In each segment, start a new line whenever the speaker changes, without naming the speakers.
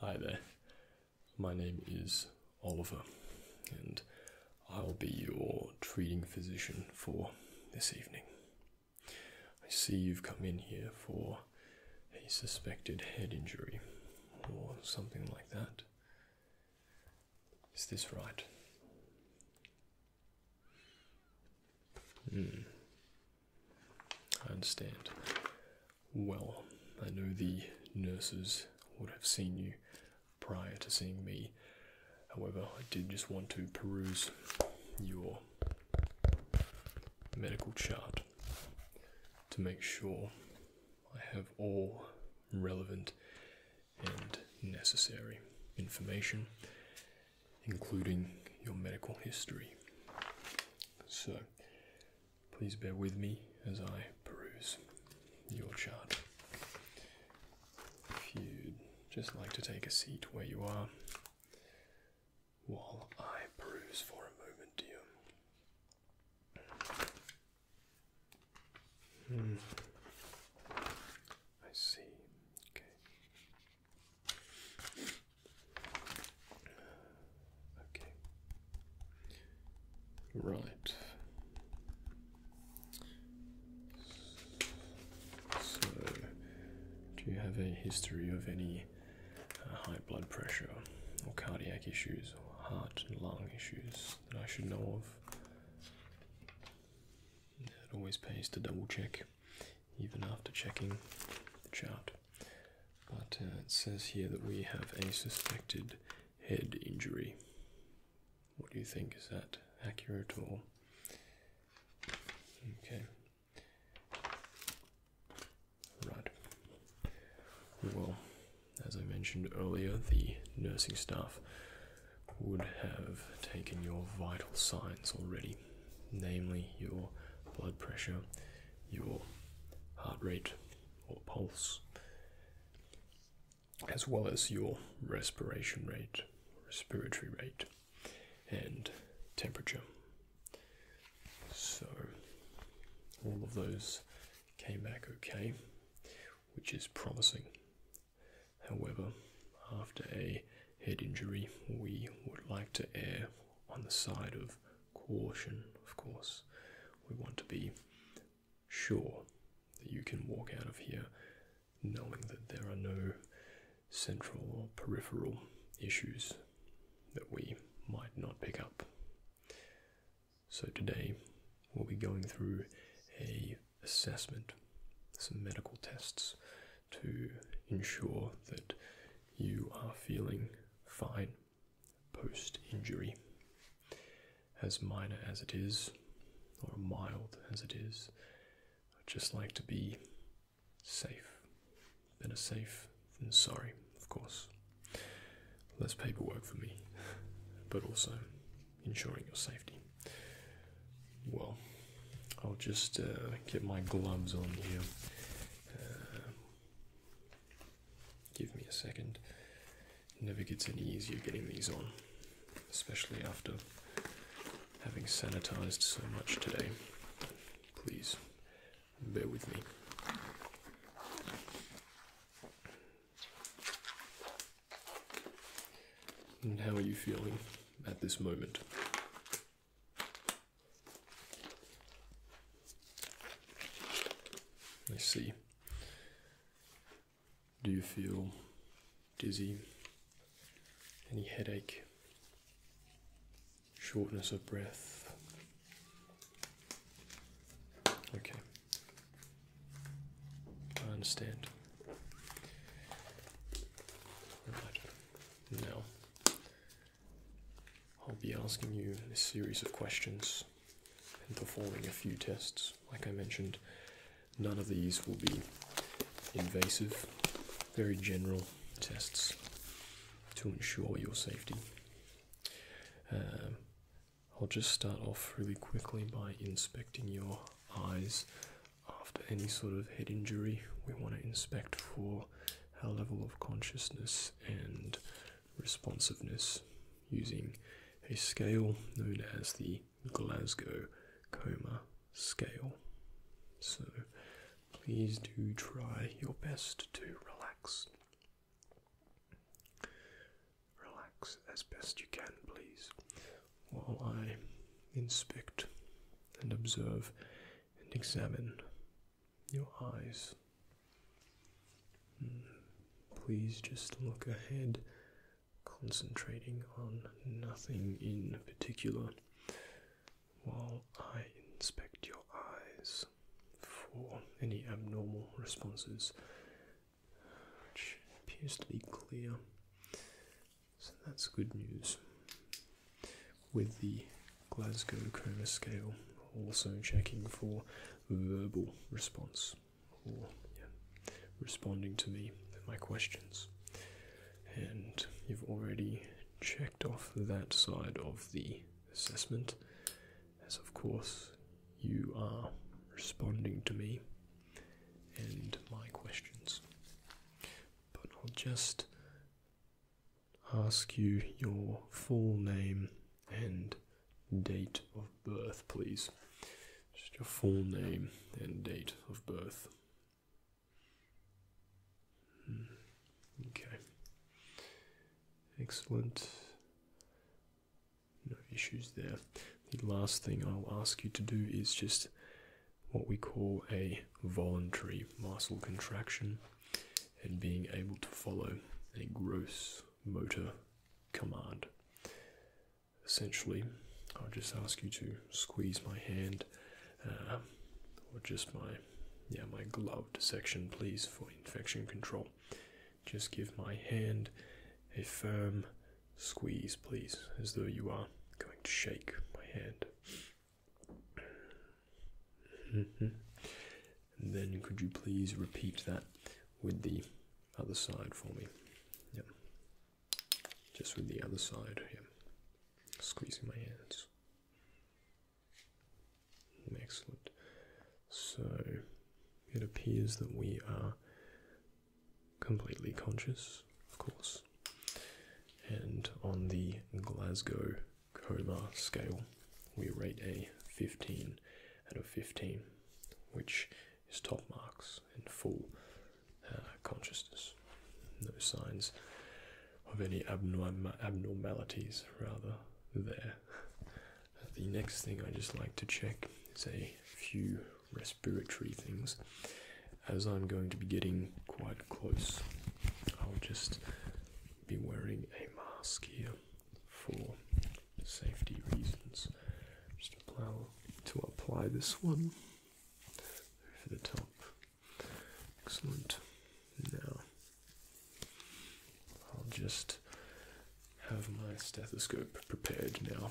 Hi there, my name is Oliver, and I'll be your treating physician for this evening. I see you've come in here for a suspected head injury or something like that. Is this right? Hmm. I understand. Well, I know the nurses would have seen you prior to seeing me. However, I did just want to peruse your medical chart to make sure I have all relevant and necessary information, including your medical history. So, Please bear with me as I peruse your chart. If you'd just like to take a seat where you are while I peruse for a moment, dear. Hmm. I see. Okay. Okay. Right. So, do you have a history of any uh, high blood pressure or cardiac issues or heart and lung issues that I should know of? It always pays to double check, even after checking the chart. But uh, it says here that we have a suspected head injury. What do you think? Is that accurate or? Okay. Right. Well, as I mentioned earlier, the nursing staff would have taken your vital signs already, namely your blood pressure your heart rate or pulse, as well as your respiration rate, respiratory rate, and temperature. So, all of those came back okay, which is promising. However, after a head injury, we would like to err on the side of caution, of course. We want to be sure that you can walk out of here knowing that there are no central or peripheral issues that we might not pick up. So today we'll be going through a assessment, some medical tests to ensure that you are feeling fine post injury. As minor as it is, or mild as it is, I I'd just like to be safe. Better safe than sorry, of course. Less paperwork for me, but also ensuring your safety. Well, I'll just uh, get my gloves on here. Uh, Give me a second. It never gets any easier getting these on, especially after having sanitized so much today. Please bear with me. And how are you feeling at this moment? Let's see. Do you feel dizzy? Any headache? Shortness of breath? Okay. I understand. No. I'll be asking you a series of questions and performing a few tests. Like I mentioned, none of these will be invasive, very general tests to ensure your safety. Um, I'll just start off really quickly by inspecting your eyes after any sort of head injury. We want to inspect for. Our level of consciousness and responsiveness using a scale known as the Glasgow Coma Scale. So please do try your best to relax. Relax as best you can, please, while I inspect and observe and examine your eyes. Hmm. Please just look ahead, concentrating on nothing in particular while I inspect your eyes for any abnormal responses, which appears to be clear. So that's good news with the Glasgow coma scale, also checking for verbal response or responding to me my questions. And you've already checked off that side of the assessment, as of course you are responding to me and my questions. But I'll just ask you your full name and date of birth, please. Just your full name and date of birth. Hmm. Okay. Excellent. No issues there. The last thing I'll ask you to do is just what we call a voluntary muscle contraction and being able to follow a gross motor command. Essentially, I'll just ask you to squeeze my hand uh, or just my yeah my gloved section, please, for infection control. Just give my hand a firm squeeze, please, as though you are going to shake my hand. Mm-hmm. then could you please repeat that with the other side for me? Yep. Just with the other side, yeah. Squeezing my hands. Excellent. So it appears that we are completely conscious, of course. And on the Glasgow Coma scale, we rate a 15 out of 15, which is top marks in full uh, consciousness. No signs of any abnorm abnormalities, rather, there. The next thing I just like to check is a few respiratory things. As I'm going to be getting quite close, I'll just be wearing a mask here for safety reasons. Just allow to apply this one for the top. Excellent. Now I'll just have my stethoscope prepared now.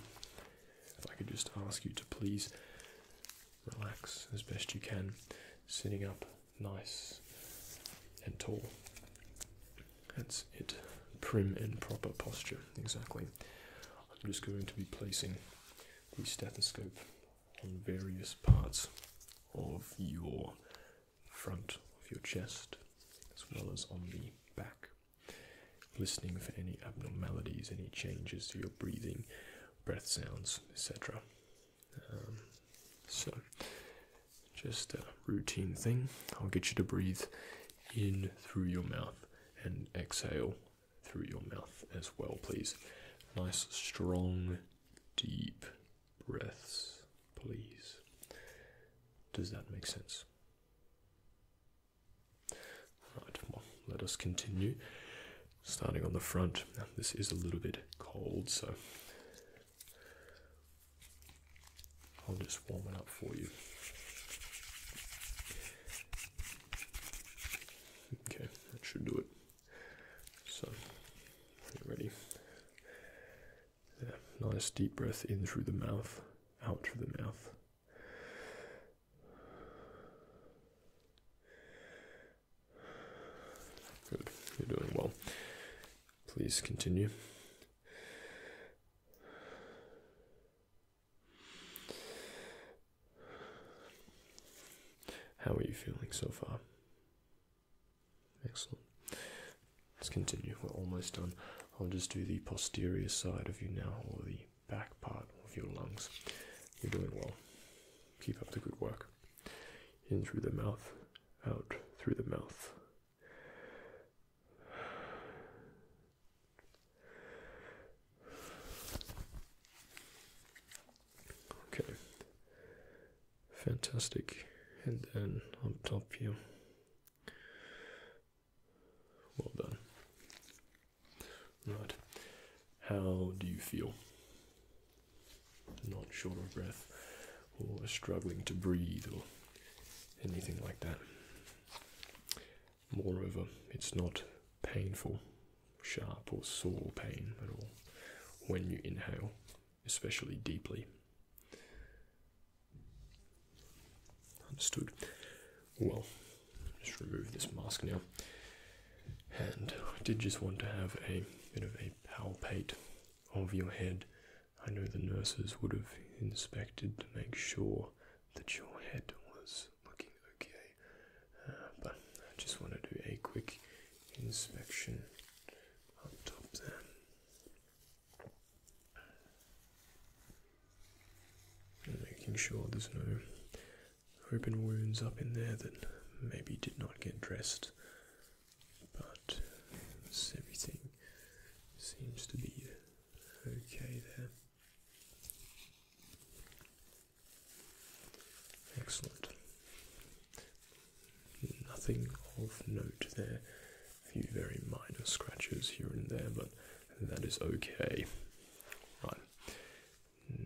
If I could just ask you to please relax as best you can, sitting up nice and tall. That's it. Prim and proper posture, exactly. I'm just going to be placing the stethoscope on various parts of your front of your chest as well as on the back, listening for any abnormalities, any changes to your breathing, breath sounds, etc. Um, so, just a routine thing. I'll get you to breathe in through your mouth and exhale through your mouth as well, please. Nice, strong, deep breaths, please. Does that make sense? Right, let us continue. Starting on the front. this is a little bit cold, so I'll just warm it up for you. Okay, that should do it. So, ready? There, nice deep breath in through the mouth, out through the mouth. Good. You're doing well. Please continue. How are you feeling so far? Excellent. Let's continue. We're almost done. I'll just do the posterior side of you now, or the back part of your lungs. You're doing well. Keep up the good work. In through the mouth out through the mouth. Okay, fantastic. And then on top here. Well done. Right. How do you feel? not short of breath or struggling to breathe or anything like that. Moreover, it's not painful, sharp, or sore pain at all when you inhale, especially deeply. Understood. Well, just remove this mask now and I did just want to have a bit of a palpate of your head. I know the nurses would have inspected to make sure that your head was looking okay, uh, but I just want to do a quick inspection on top there. making sure there's no open wounds up in there that maybe did not get dressed but uh, everything seems to be uh, okay there. Excellent. Nothing of note there. A few very minor scratches here and there, but that is okay. Right.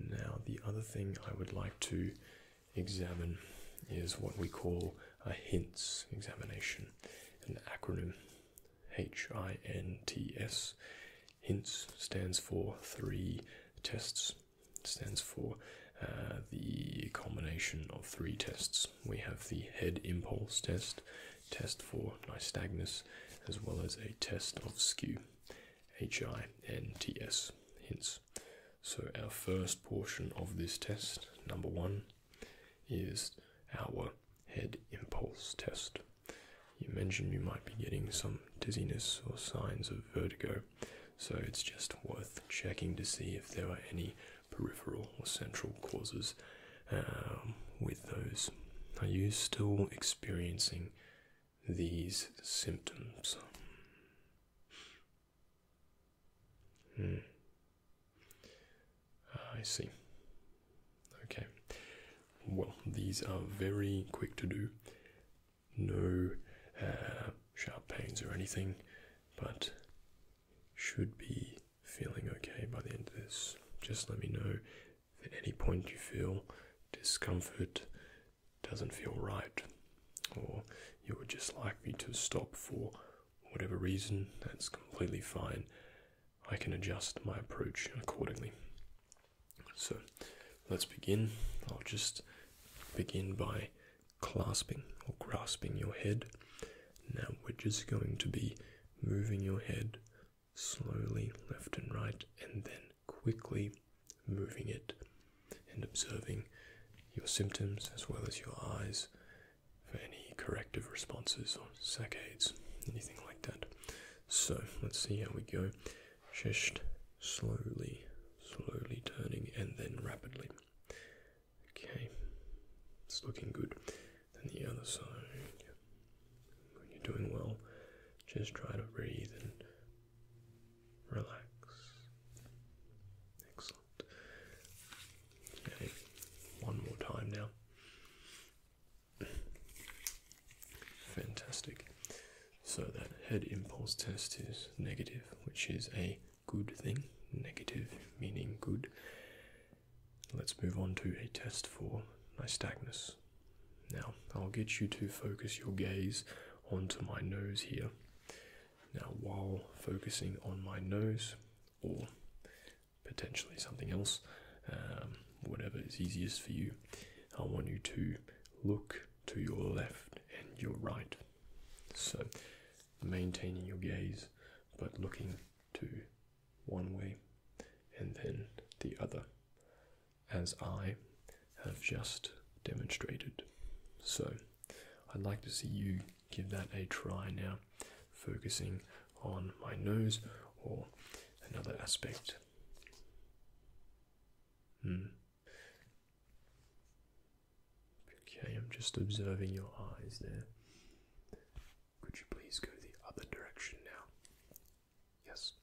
Now, the other thing I would like to examine is what we call a HINTS examination, an acronym H I N T S. HINTS stands for three tests, it stands for uh, the combination of three tests. We have the head impulse test, test for nystagmus, as well as a test of skew. H I N T S. Hints. So, our first portion of this test, number one, is our head impulse test. You mentioned you might be getting some dizziness or signs of vertigo, so it's just worth checking to see if there are any peripheral or central causes um, with those. Are you still experiencing these symptoms? Hmm. Ah, I see. Okay. Well, these are very quick to do. No uh, sharp pains or anything, but should be feeling okay by the end of this. Just let me know if at any point you feel discomfort doesn't feel right, or you would just like me to stop for whatever reason, that's completely fine. I can adjust my approach accordingly. So let's begin. I'll just begin by clasping or grasping your head. Now we're just going to be moving your head slowly left and right and then quickly moving it and observing your symptoms as well as your eyes for any corrective responses or saccades, anything like that. So let's see how we go. Just slowly, slowly turning and then rapidly. Okay, it's looking good. Then the other side. When you're doing well, just try to breathe and Relax. Excellent. Okay, one more time now. Fantastic. So that head impulse test is negative, which is a good thing. Negative meaning good. Let's move on to a test for nystagmus. Now, I'll get you to focus your gaze onto my nose here. Now, while focusing on my nose or potentially something else, um, whatever is easiest for you, I want you to look to your left and your right. So, maintaining your gaze but looking to one way and then the other as I have just demonstrated. So, I'd like to see you give that a try now, focusing on my nose or another aspect. Hmm. Okay, I'm just observing your eyes there. Could you please go the other direction now? Yes.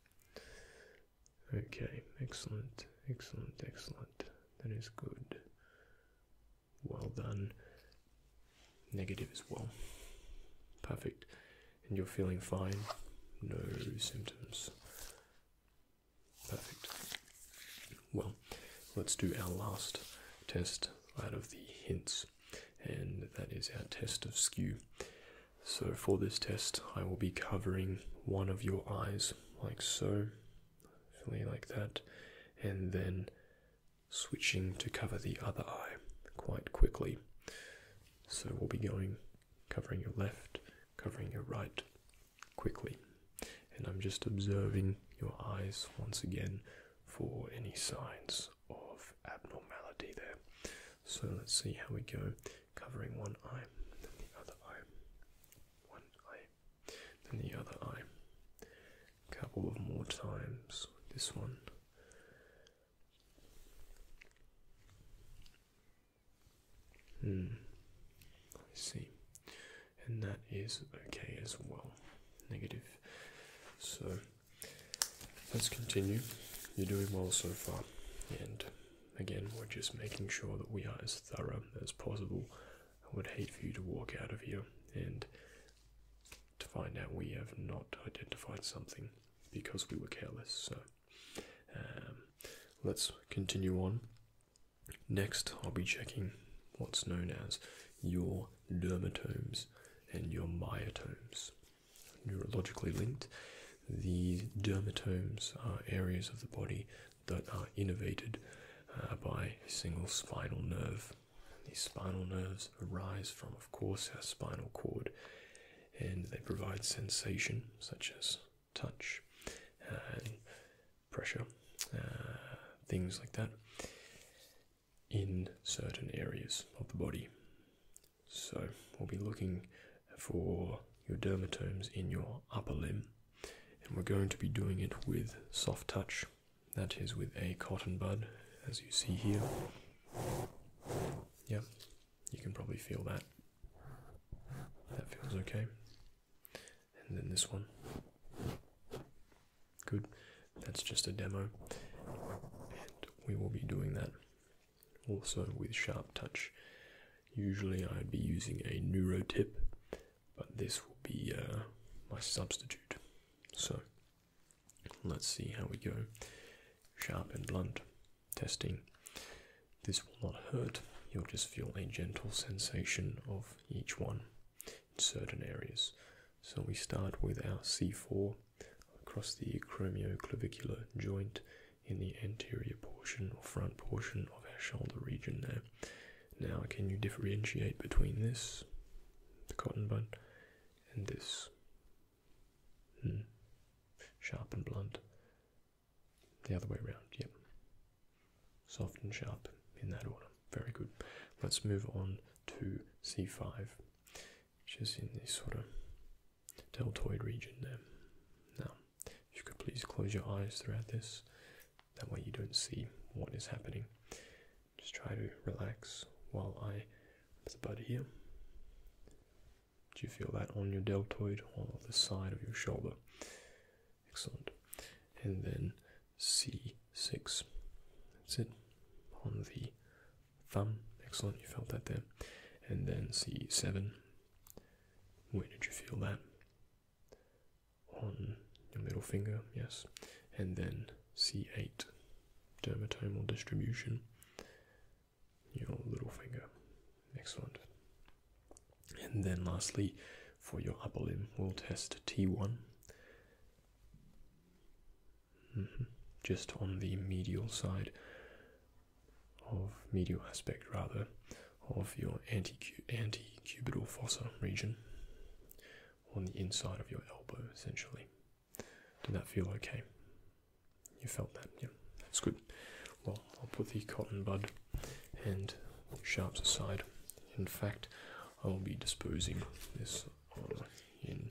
Okay, excellent, excellent, excellent. That is good. Well done. Negative as well. Perfect. And you're feeling fine? No symptoms. Perfect. Well, let's do our last test out of the hints, and that is our test of skew. So, for this test, I will be covering one of your eyes, like so, filling like that, and then switching to cover the other eye quite quickly. So we'll be going covering your left, covering your right quickly. And I'm just observing your eyes once again for any signs of abnormality there. So let's see how we go. Covering one eye, then the other eye. One eye eye than the other eye. A couple of more times. This one. Hmm. I see. And that is okay as well. Negative. So let's continue. You're doing well so far, and Again, we're just making sure that we are as thorough as possible. I would hate for you to walk out of here and to find out we have not identified something because we were careless. So um, let's continue on. Next, I'll be checking what's known as your dermatomes and your myotomes. Neurologically linked, the dermatomes are areas of the body that are innervated uh, by a single spinal nerve. These spinal nerves arise from, of course, our spinal cord, and they provide sensation such as touch and pressure, uh, things like that, in certain areas of the body. So, we'll be looking for your dermatomes in your upper limb and we're going to be doing it with soft touch. That is with a cotton bud, as you see here. Yeah, you can probably feel that. That feels okay. And then this one. Good. That's just a demo. we will be doing that also with sharp touch Usually I'd be using a NeuroTip, but this will be uh, my substitute. So let's see how we go. Sharp and blunt testing. This will not hurt, you'll just feel a gentle sensation of each one in certain areas. So we start with our C4 across the acromioclavicular joint in the anterior portion or front portion of our shoulder region there. Now, can you differentiate between this, the cotton bud, and this? Hmm. Sharp and blunt. The other way around, yep. Soft and sharp in that order. Very good. Let's move on to C5, which is in this sort of deltoid region there. Now, if you could please close your eyes throughout this, that way you don't see what is happening. Just try to relax while I put about bud here. Do you feel that on your deltoid on the side of your shoulder? Excellent. And then C6. That's it. On the thumb. Excellent. You felt that there. And then C7. Where did you feel that? on your middle finger, yes, and then C8, dermatomal distribution, your little finger. Excellent. And then lastly, for your upper limb, we'll test T1. Mm-hmm. Just on the medial side of medial aspect, rather, of your anti antecubital fossa region on the inside of your elbow, essentially. Did that feel okay? You felt that, yeah. That's good. Well, I'll put the cotton bud and sharps aside. In fact, I will be disposing this in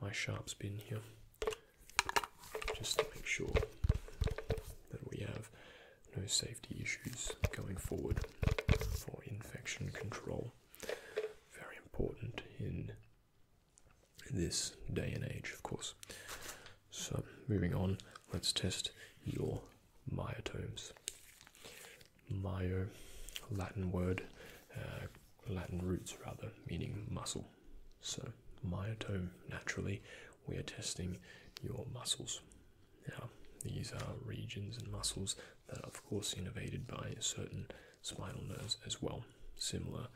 my sharps bin here, just to make sure that we have no safety issues going forward for infection control. Very important in this day and age, of course. So, moving on, let's test your myotomes. Myo, Latin word, uh, Latin roots rather, meaning muscle. So, myotome, naturally, we are testing your muscles. Now, these are regions and muscles that are, of course, innervated by certain spinal nerves as well, similar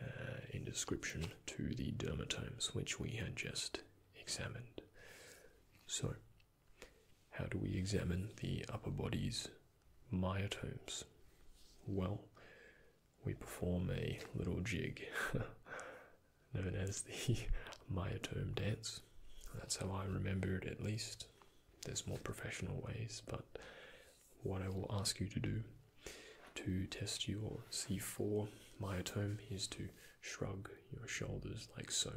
uh, in description to the dermatomes which we had just examined. So, how do we examine the upper body's myotomes? Well, we perform a little jig known as the Maya dance. That's how I remember it at least. There's more professional ways, but what I will ask you to do to test your C4 myotome is to shrug your shoulders like so,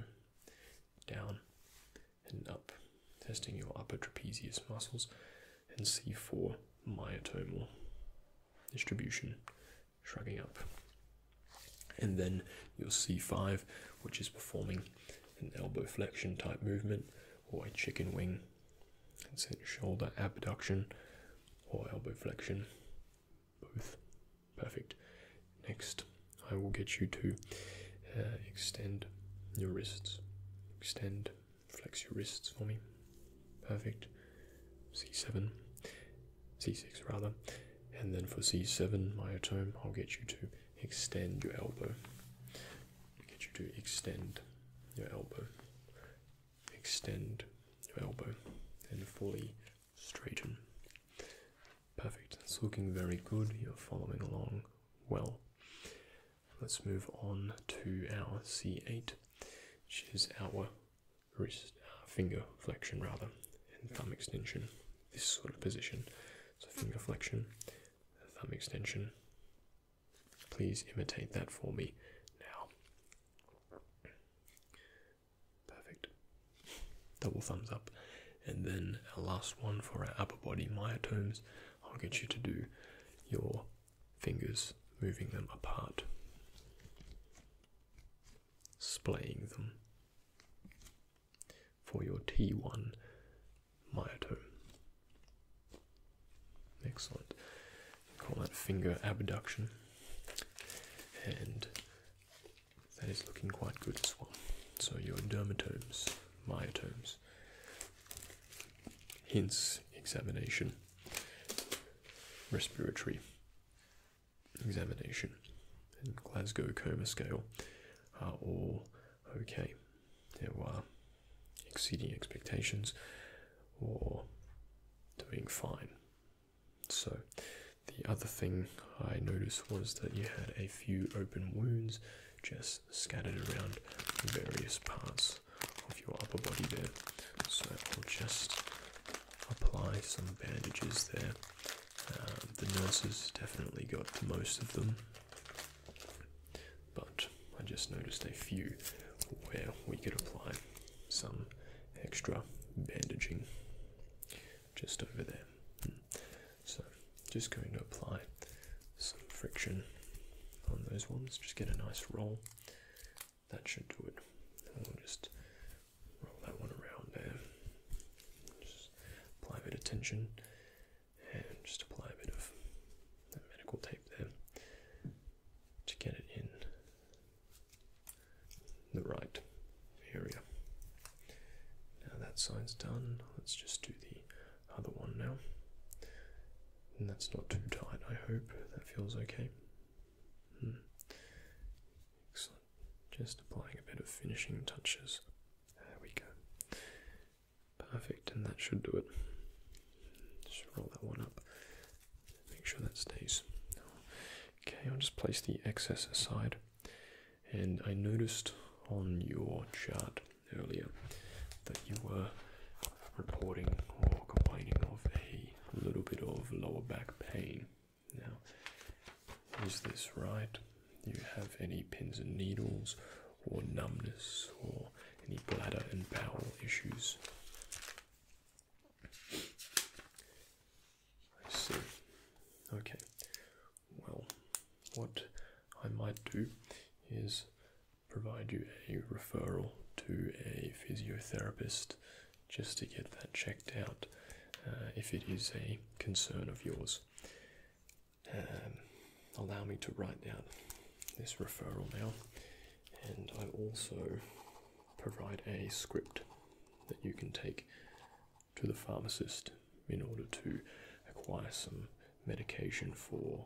down and up, testing your upper trapezius muscles and C4 myotomal distribution shrugging up. And then your C5, which is performing an elbow flexion type movement, or a chicken wing, and it, shoulder abduction, or elbow flexion, both. Perfect. Next, I will get you to uh, extend your wrists, extend, flex your wrists for me. Perfect. C7 c6 rather, and then for c7, myotome, I'll get you to extend your elbow. Get you to extend your elbow. Extend your elbow and fully straighten. Perfect. It's looking very good. You're following along well. Let's move on to our C8, which is our wrist, uh, finger flexion rather, and thumb extension. This sort of position. So finger flexion, thumb extension. Please imitate that for me now. Perfect. Double thumbs up. And then our last one for our upper body myotomes, I'll get you to do your fingers, moving them apart splaying them for your T1 myotome. Excellent. call that finger abduction, and that is looking quite good as well. So your dermatomes, myotomes, hints examination, respiratory examination and Glasgow Coma Scale are all okay. They were exceeding expectations or doing fine. So, the other thing I noticed was that you had a few open wounds just scattered around various parts of your upper body there. So, I'll just apply some bandages there. Um, the nurses definitely got most of them, but I just noticed a few where we could apply some extra bandaging just over there. Hmm. So, just going to apply some friction on those ones, just get a nice roll that should do it. We'll just roll that one around there. Just apply a bit of tension and just apply a bit of medical tape there to get it in the right area. Now that side's done, let's just do the other one now. And that's not too tight, I hope. That feels okay. Hmm. Excellent. Just applying a bit of finishing touches. There we go. Perfect, and that should do it. Just roll that one up. Make sure that stays. Okay, I'll just place the excess aside. And I noticed on your chart earlier that you were reporting or complaining of a little bit of lower back pain. Now, is this right? Do you have any pins and needles, or numbness, or any bladder and bowel issues? I see. Okay. Well, what I might do is provide you a referral to a physiotherapist just to get that checked out uh, if it is a concern of yours. Um, allow me to write down this referral now, and I also provide a script that you can take to the pharmacist in order to acquire some medication for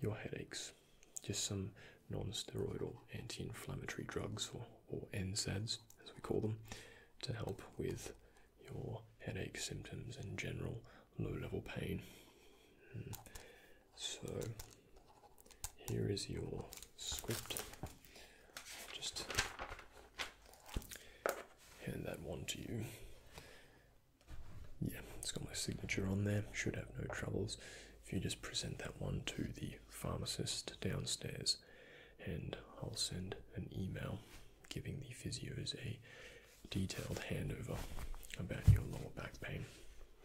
your headaches just some non-steroidal anti-inflammatory drugs or, or NSAIDs as we call them to help with your headache symptoms and general low-level pain. Hmm. So here is your script. just hand that one to you. Yeah, it's got my signature on there. Should have no troubles if you just present that one to the pharmacist downstairs, and I'll send an email giving the physios a detailed handover about your lower back pain.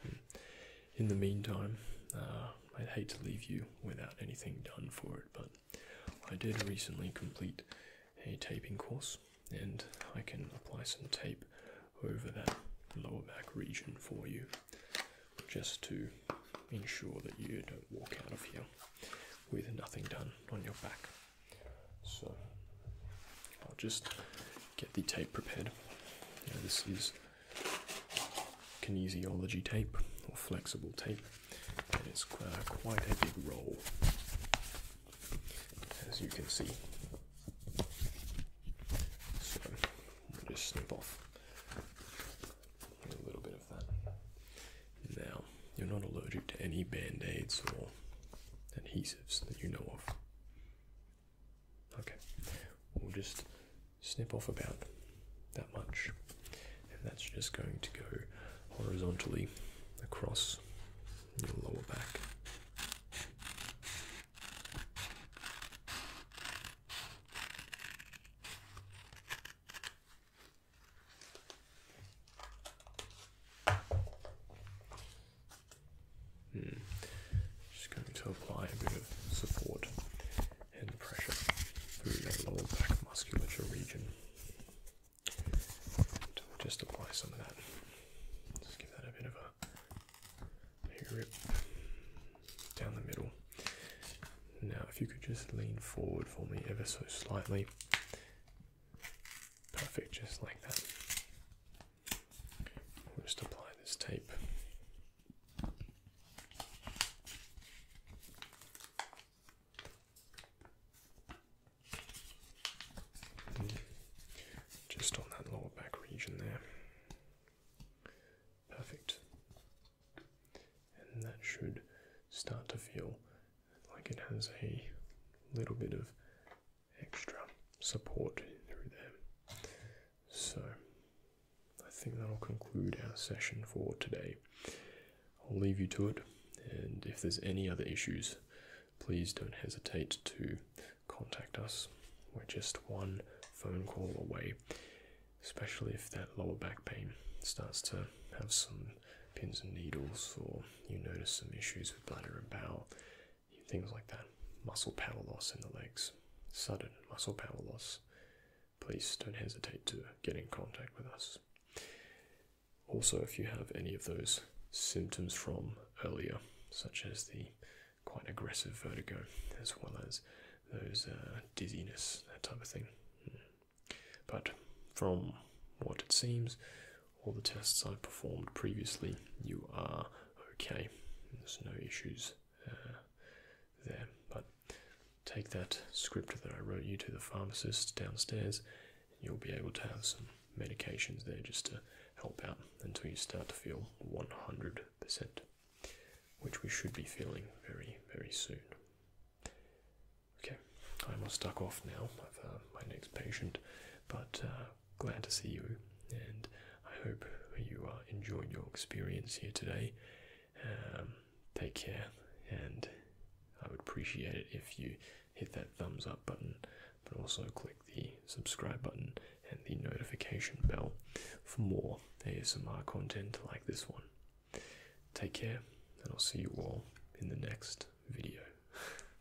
Hmm. In the meantime, uh, I'd hate to leave you without anything done for it, but I did recently complete a taping course, and I can apply some tape over that lower back region for you just to ensure that you don't walk out of here with nothing done on your back. So I'll just get the tape prepared. this is kinesiology tape or flexible tape, and it's uh, quite a big roll, as you can see. So we'll just snip off a little bit of that. Now, you're not allergic to any band aids or adhesives that you know of. Okay, we'll just snip off about that much, and that's just going to go horizontally across your lower back. Hmm. Just going to apply a bit of support and pressure through that lower back musculature region. just apply some of that. Just give that a bit of a Make down the middle. Now, if you could just lean forward for me ever so slightly. Perfect, just like that. just apply this tape. Just on that lower back region there. Perfect. And that should start to feel like it has a little bit of extra support through there. So I think that'll conclude our session for today. I'll leave you to it, and if there's any other issues, please don't hesitate to contact us. We're just one phone call away, especially if that lower back pain starts to have some pins and needles, or you notice some issues with bladder and bowel, things like that. Muscle power loss in the legs, sudden muscle power loss. Please don't hesitate to get in contact with us. Also, if you have any of those symptoms from earlier, such as the quite aggressive vertigo, as well as those uh, dizziness, that type of thing. Hmm. But from what it seems, all the tests I've performed previously, you are okay. There's no issues uh, there. But take that script that I wrote you to the pharmacist downstairs, you'll be able to have some medications there just to help out until you start to feel 100 which we should be feeling very, very soon. Okay, I'm all stuck off now. i uh, my next patient, but uh, glad to see you, and I hope you uh, enjoyed your experience here today. Um, take care, and I would appreciate it if you hit that thumbs up button, but also click the subscribe button and the notification bell for more ASMR content like this one. Take care, and I'll see you all in the next video.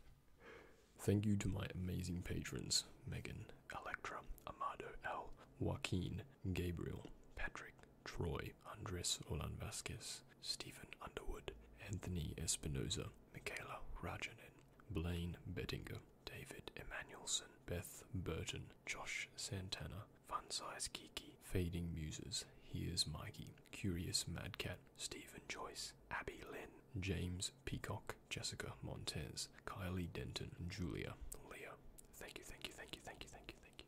Thank you to my amazing patrons Megan, Electra, Amado L, Joaquin, Gabriel, Patrick, Troy, Andres Olan Vasquez, Stephen Underwood, Anthony Espinoza, Michaela Rajanen, Blaine Bettinger, David Emanuelson, Beth Burton, Josh Santana, Funsize Kiki, Fading Muses, Here's Mikey, Curious Madcat, Stephen Joyce, Abby Lynn, James Peacock, Jessica Montez, Kylie Denton, Julia, Leah. Thank you, thank you, thank you, thank you, thank you, thank you.